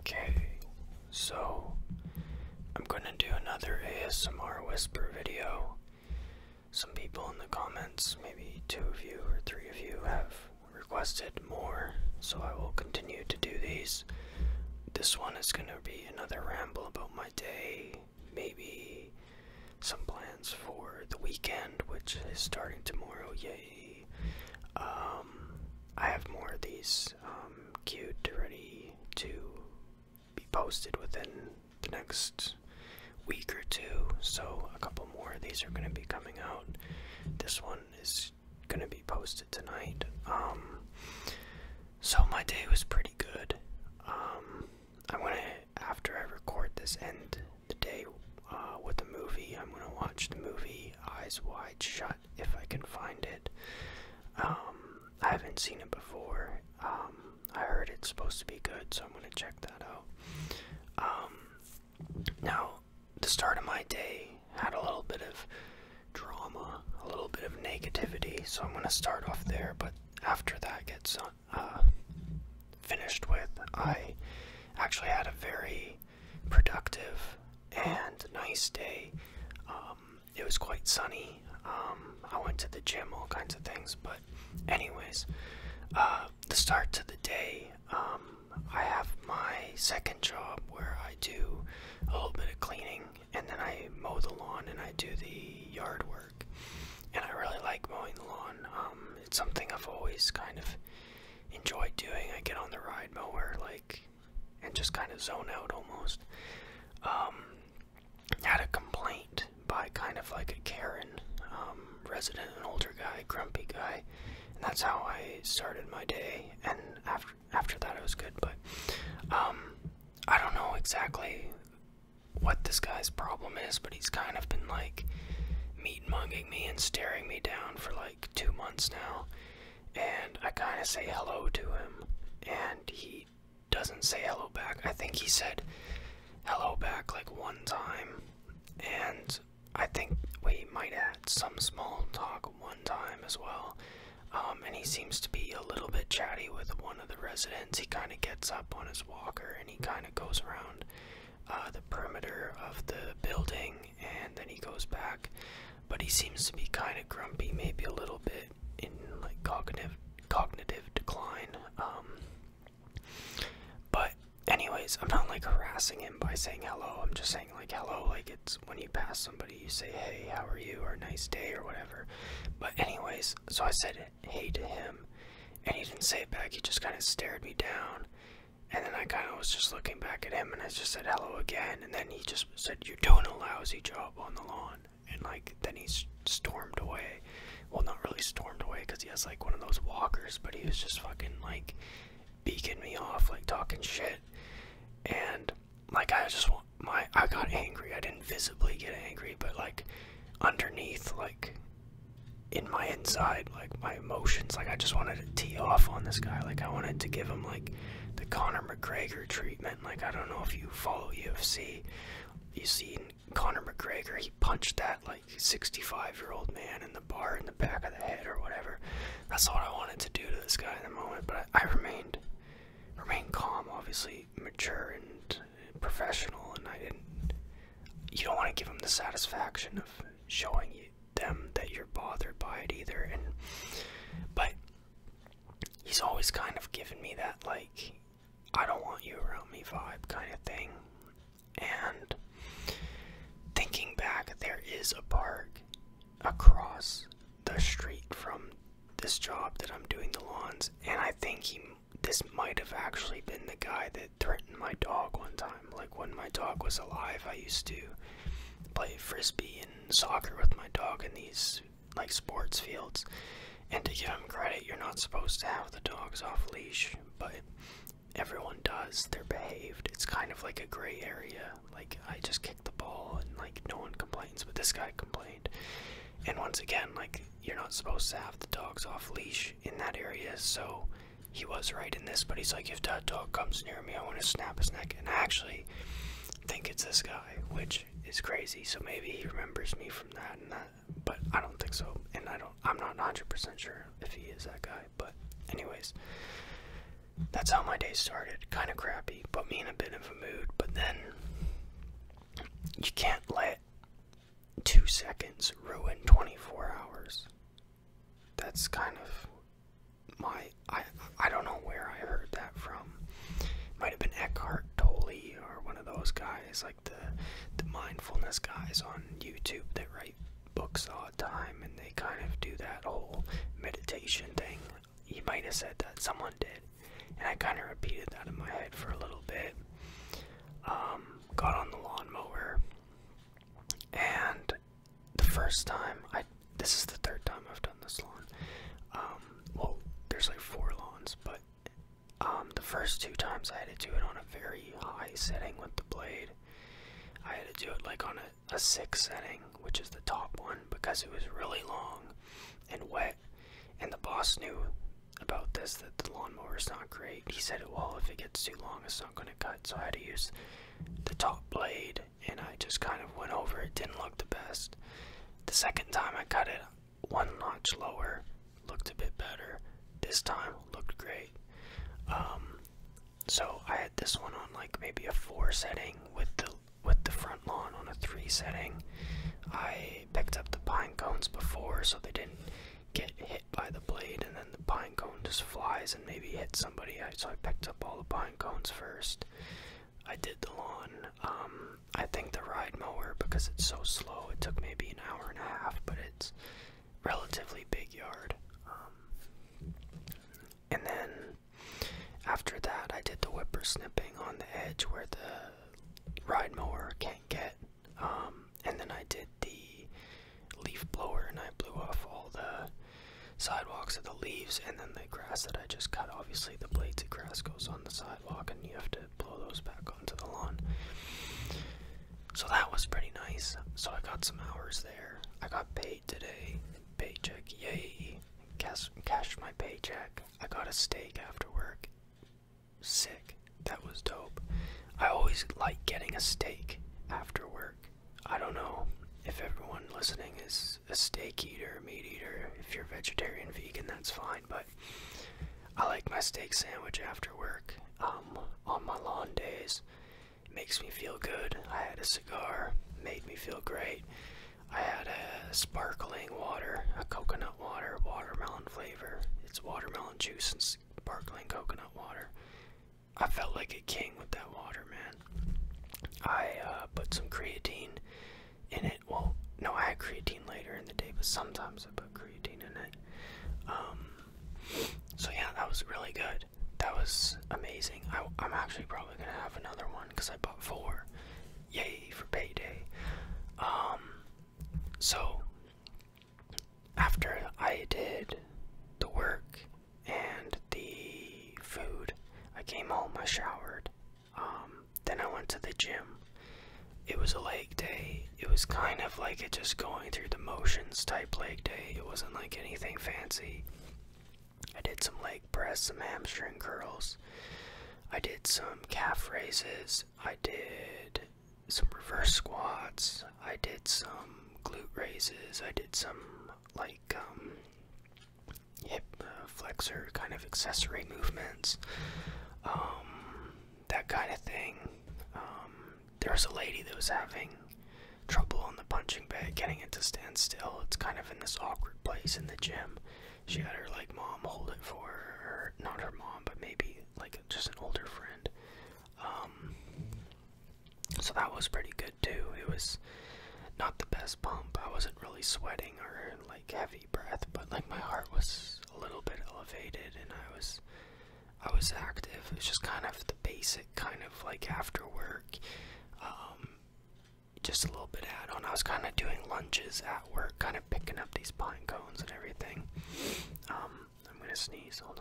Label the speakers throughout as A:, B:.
A: Okay, so I'm gonna do another ASMR whisper video. Some people in the comments, maybe two of you or three of you, have requested more, so I will continue to do these. This one is gonna be another ramble about my day, maybe some plans for the weekend, which is starting tomorrow, yay. Um, I have more of these um, queued ready to be posted within the next week or two. So a couple more of these are going to be coming out. This one is going to be posted tonight. Um, so my day was pretty good. Um, I want to, after I record this, end the day uh, with a movie. I'm going to watch the movie Eyes Wide Shut if I can find it. Um, I haven't seen it before. Um, I heard it's supposed to be good, so I'm gonna check that out. Um, now, the start of my day had a little bit of drama, a little bit of negativity, so I'm gonna start off there. But after that gets uh, finished with, I actually had a very productive and nice day. Um, it was quite sunny. Um, I went to the gym, all kinds of things. But, anyways, uh, the start to the day, um, I have my second job where I do a little bit of cleaning and then I mow the lawn and I do the yard work. And I really like mowing the lawn. it's something I've always kind of enjoyed doing. I get on the ride mower like and just kind of zone out almost. Um, had a complaint by kind of like a Karen um, resident, an older guy, grumpy guy, and that's how I started my day. And after after that, it was good. But um, I don't know exactly what this guy's problem is, but he's kind of been like meat mugging me and staring me down for like two months now, and I kind of say hello to him, and he doesn't say hello back. I think he said hello back like one time, and I think we might add some small talk one time as well. Um, and he seems to be a little bit chatty with one of the residents. He kind of gets up on his walker and he kind of goes around uh, the perimeter of the building and then he goes back. But he seems to be kind of grumpy, maybe a little bit in like cognitive cognitive decline. Um, but anyways, I'm not like harassing him by saying hello. I'm just saying like hello, like it's when you pass somebody, you say hey, how are you, or nice day, or whatever. But anyways, so I said hey to him, and he didn't say it back. He just kind of stared me down. And then I kind of was just looking back at him and I just said hello again. And then he just said, You're doing a lousy job on the lawn. And like, then he stormed away. Well, not really stormed away because he has like one of those walkers, but he was just fucking like beaking me off, like talking shit. And like, I just want my, I got angry. I didn't visibly get angry, but like underneath, like in my inside, like my emotions, like I just wanted to tee off on this guy. Like, I wanted to give him like the Conor McGregor treatment. Like I don't know if you follow UFC. You seen Conor McGregor, he punched that like 65 year old man in the bar in the back of the head or whatever. That's what I wanted to do to this guy in the moment, but I remained remained calm, obviously mature and professional, and I didn't. You don't want to give him the satisfaction of showing you them that you're bothered by it either and but he's always kind of given me that like I don't want you around me vibe kind of thing and thinking back there is a park across the street from this job that I'm doing the lawns and I think he this might have actually been the guy that threatened my dog one time like when my dog was alive I used to play frisbee in soccer with my dog in these like sports fields. And to give him credit, you're not supposed to have the dogs off leash, but everyone does. They're behaved. It's kind of like a gray area. Like I just kick the ball and like no one complains, but this guy complained. And once again, like you're not supposed to have the dogs off leash in that area, so he was right in this, but he's like, if that dog comes near me, I want to snap his neck. And I actually think it's this guy, which is crazy. So maybe he remembers me from that and that, but I don't think so. And I don't, I'm not 100% sure if he is that guy. But, anyways, that's how my day started. Kind of crappy, put me in a bit of a mood. But then, you can't let two seconds ruin 24 hours. That's kind of my I I don't know where I heard that from. might have been Eckhart Tolle or one of those guys, like the the mindfulness guys on YouTube that write books all the time, and they kind of do that whole meditation thing. He might have said that someone did, and I kind of repeated that in my head for a little bit. Um, got on the lawnmower and the first time I this is the third time I've done this lawn. Um, well, there's like four lawns, but um, the first two times I had to do it on a very high setting with the blade. I had to do it like on a, a six setting, which is the top one, because it was really long and wet. And the boss knew about this that the lawnmower is not great. He said, "Well, if it gets too long, it's not going to cut." So I had to use the top blade and I just kind of went over it, didn't look the best. The second time I cut it one notch lower, looked a bit better. This time looked great. Um, so I had this one on like maybe a four setting with the with the front lawn on a three setting. I picked up the pine cones before so they didn't get hit by the blade and then the pine cone just flies and maybe hit somebody. So I picked up all the pine cones first. I did the lawn. Um, I think the ride mower because it's so slow. It took maybe an hour and a half, but it's relatively big yard. Um, and then after that, I did the whippersnipping on the edge where the ride mower can't get. Um, and then I did the leaf blower and I blew off all the sidewalks of the leaves and then the grass that I just cut. Obviously, the blades of grass goes on the sidewalk, and you have to blow those back onto the lawn. So that was pretty nice. So I got some hours there. I got paid today. Paycheck, yay! Cash, cashed my paycheck. I got a steak after work. Sick. That was dope. I always like getting a steak after work. I don't know if everyone listening is a steak eater, meat eater. If you're vegetarian, vegan, that's fine. But I like my steak sandwich after work um, on my lawn days. It makes me feel good. I had a cigar, made me feel great. I had a sparkling water, a coconut water, watermelon flavor. It's watermelon juice and sparkling coconut water. I felt like a king with that water, man. I uh, put some creatine in it. Well, no, I had creatine later in the day, but sometimes I put creatine in it. Um, so yeah, that was really good. That was amazing. I, am actually probably gonna have another one because I bought four. Yay for payday. Um, so after I did the work and the food. I came home, I showered. Um, then I went to the gym. It was a leg day. It was kind of like it just going through the motions type leg day. It wasn't like anything fancy. I did some leg press, some hamstring curls. I did some calf raises. I did some reverse squats. I did some glute raises. I did some like um hip flexor kind of accessory movements, um, that kind of thing. Um, there was a lady that was having trouble on the punching bag, getting it to stand still. It's kind of in this awkward place in the gym. She had her like mom hold it for her, not her mom, but maybe like just an older friend. Um, so that was pretty good. It was not the best pump. I wasn't really sweating or like heavy breath, but like my heart was a little bit elevated and I was I was active. It was just kind of the basic kind of like after work. Um just a little bit add on. I was kind of doing lunches at work, kind of picking up these pine cones and everything. Um, I'm gonna sneeze. Hold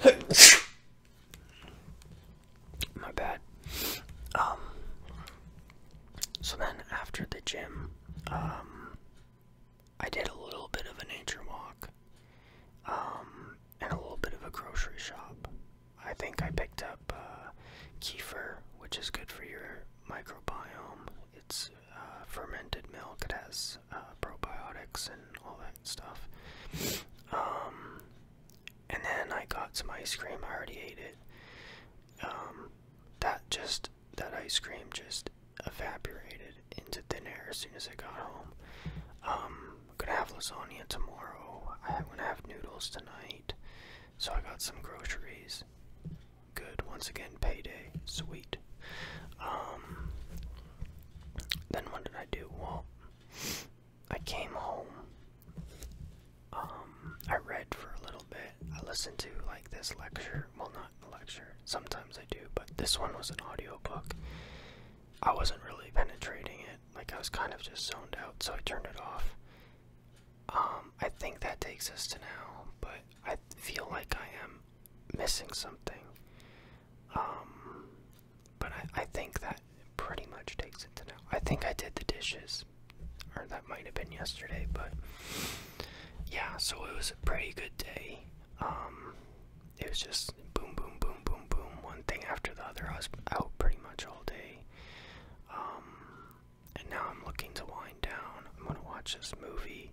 A: on. My bad. Um, so then after the gym, um, I did a little bit of a nature walk, um, and a little bit of a grocery shop. I think I picked up uh, kefir, which is good for your microbiome. It's uh, fermented milk. It has uh, probiotics and all that stuff and then I got some ice cream. I already ate it. Um, that just that ice cream just evaporated into thin air as soon as I got home. Um, I'm gonna have lasagna tomorrow. I'm gonna have noodles tonight. So I got some groceries. Good. Once again, payday. Sweet. Um, then what did I do? Well, I came home. Um, I read for a little bit. I listened to like this lecture. Well, not a lecture. Sometimes I do, but this one was an audio book. I wasn't really penetrating it. Like I was kind of just zoned out, so I turned it off. Um, I think that takes us to now, but I feel like I am missing something. Um, but I, think that pretty much takes it to now. I think I did the dishes, or that might have been yesterday, but yeah, so it was a pretty good day. Um, it was just boom, boom, boom, boom, boom, one thing after the other. I was out pretty much all day. Um, and now I'm looking to wind down. I'm gonna watch this movie.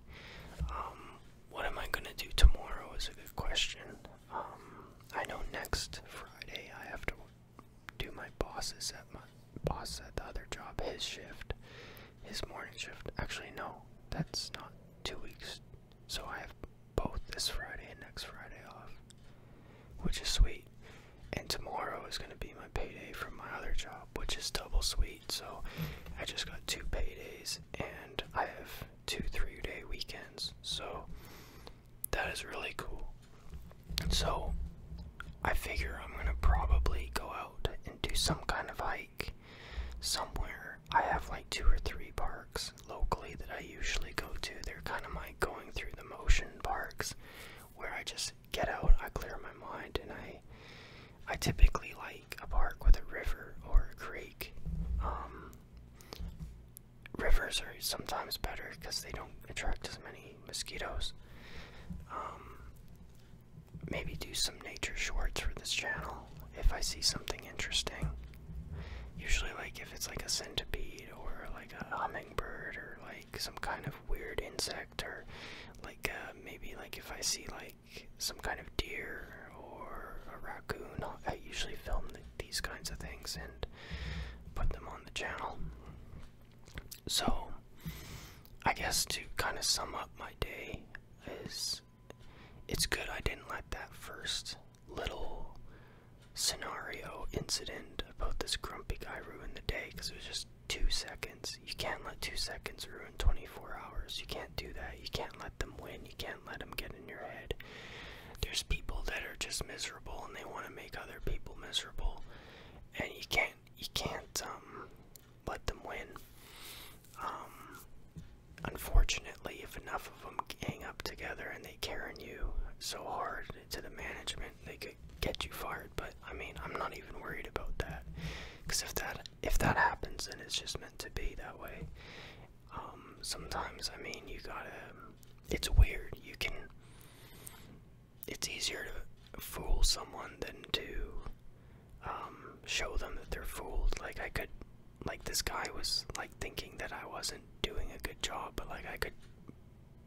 A: Um, what am I gonna do tomorrow is a good question. I know next Friday I have to do my boss is at my boss at the other job his shift, his morning shift. Actually, no, that's not two weeks. So I have both this Friday and next Friday off, which is sweet. And tomorrow is going to be my payday from my other job, which is double sweet. So I just got two paydays, and I have two three day weekends. So that is really cool. So, I figure I'm gonna probably go out and do some kind of hike somewhere. I have like two or three parks locally that I usually go to. They're kind of my going through the motion parks where I just get out, I clear my mind, and I I typically like a park with a river or a creek. Um, rivers are sometimes better because they don't attract as many mosquitoes. Um, maybe do some nature shorts for this channel if I see something interesting. Usually, like if it's like a centipede or like a hummingbird or like some kind of weird insect or like uh, maybe like if I see like some kind of deer or a raccoon, I usually film these kinds of things in put them on the channel. So, I guess to kind of sum up my day is it's good I didn't let that first little scenario incident about this grumpy guy ruin the day because it was just two seconds. You can't let two seconds ruin 24 hours. You can't do that. You can't let them win. You can't let them get in your head there's people that are just miserable and they want to make other people miserable and you can't you can't um, let them win um, unfortunately if enough of them hang up together and they carry you so hard to the management they could get you fired but i mean i'm not even worried about that because if that if that happens then it's just meant to be that way um, sometimes i mean you gotta it's weird you can it's easier to fool someone than to um, show them that they're fooled. Like I could, like this guy was like thinking that I wasn't doing a good job, but like I could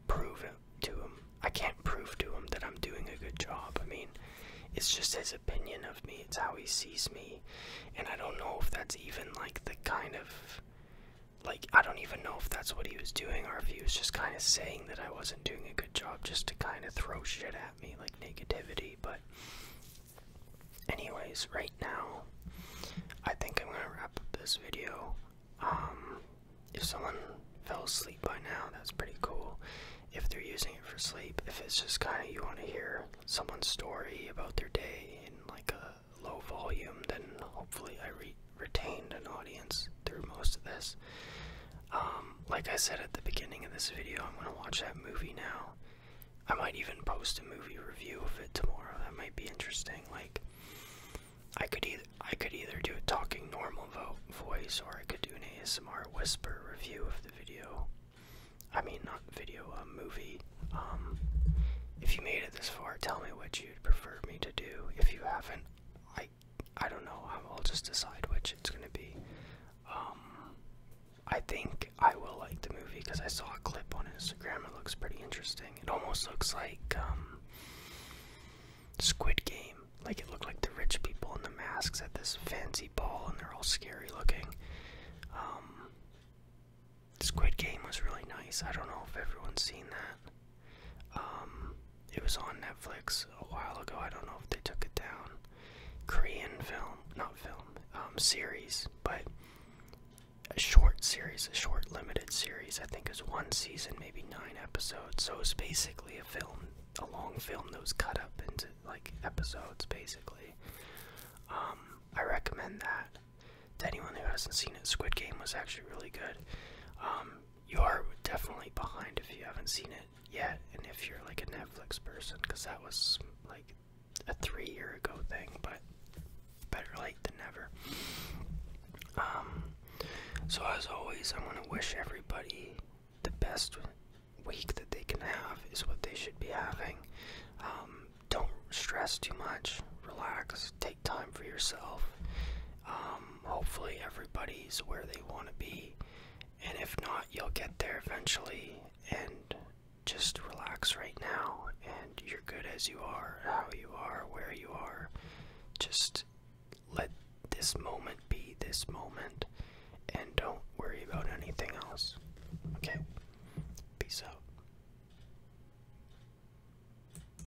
A: prove it to him. I can't prove to him that I'm doing a good job. I mean, it's just his opinion of me. It's how he sees me, and I don't know if that's even like the kind of like I don't even know if that's what he was doing or if he was just kind of saying that I wasn't doing a good job just to kind of throw shit at me like negativity but anyways right now I think I'm gonna wrap up this video um, if someone fell asleep by now that's pretty cool if they're using it for sleep if it's just kind of you want to hear someone's story about their day in like a low volume, then hopefully I re retained an audience through most of this. Um, like I said at the beginning of this video, I'm gonna watch that movie now. I might even post a movie review of it tomorrow. That might be interesting. Like, I could either I could either do a talking normal voice or I could do an ASMR whisper review of the video. I mean, not video, a movie. Um, if you made it this far, tell me what you'd prefer me to do. If you haven't, I I don't know. I'll just decide which it's gonna be. Um, I think I will like the movie because I saw a clip on Instagram. It looks pretty interesting. It almost looks like um, Squid Game. Like it looked like the rich people in the masks at this fancy ball, and they're all scary looking. Um, Squid Game was really nice. I don't know if everyone's seen that. Um, it was on Netflix a while ago. I don't know if they took it down. Korean film, not film, um, series, but a short series, a short limited series. I think is one season, maybe nine episodes. So it's basically a film, a long film that was cut up into like episodes, basically. Um, I recommend that to anyone who hasn't seen it. Squid Game was actually really good. Um, you are definitely behind if you haven't seen it yet, and if you're like a Netflix person, because that was like a three year ago thing, but better late than never. Um, so, as always, I want to wish everybody the best week that they can have, is what they should be having. Um, don't stress too much, relax, Take time for yourself. Um, hopefully, everybody's where they want to be, and if not, you'll get there eventually. And just relax right now, and you're good as you are, how you are, where you are. Just let this moment be this moment, and don't worry about anything else. Okay? Peace out.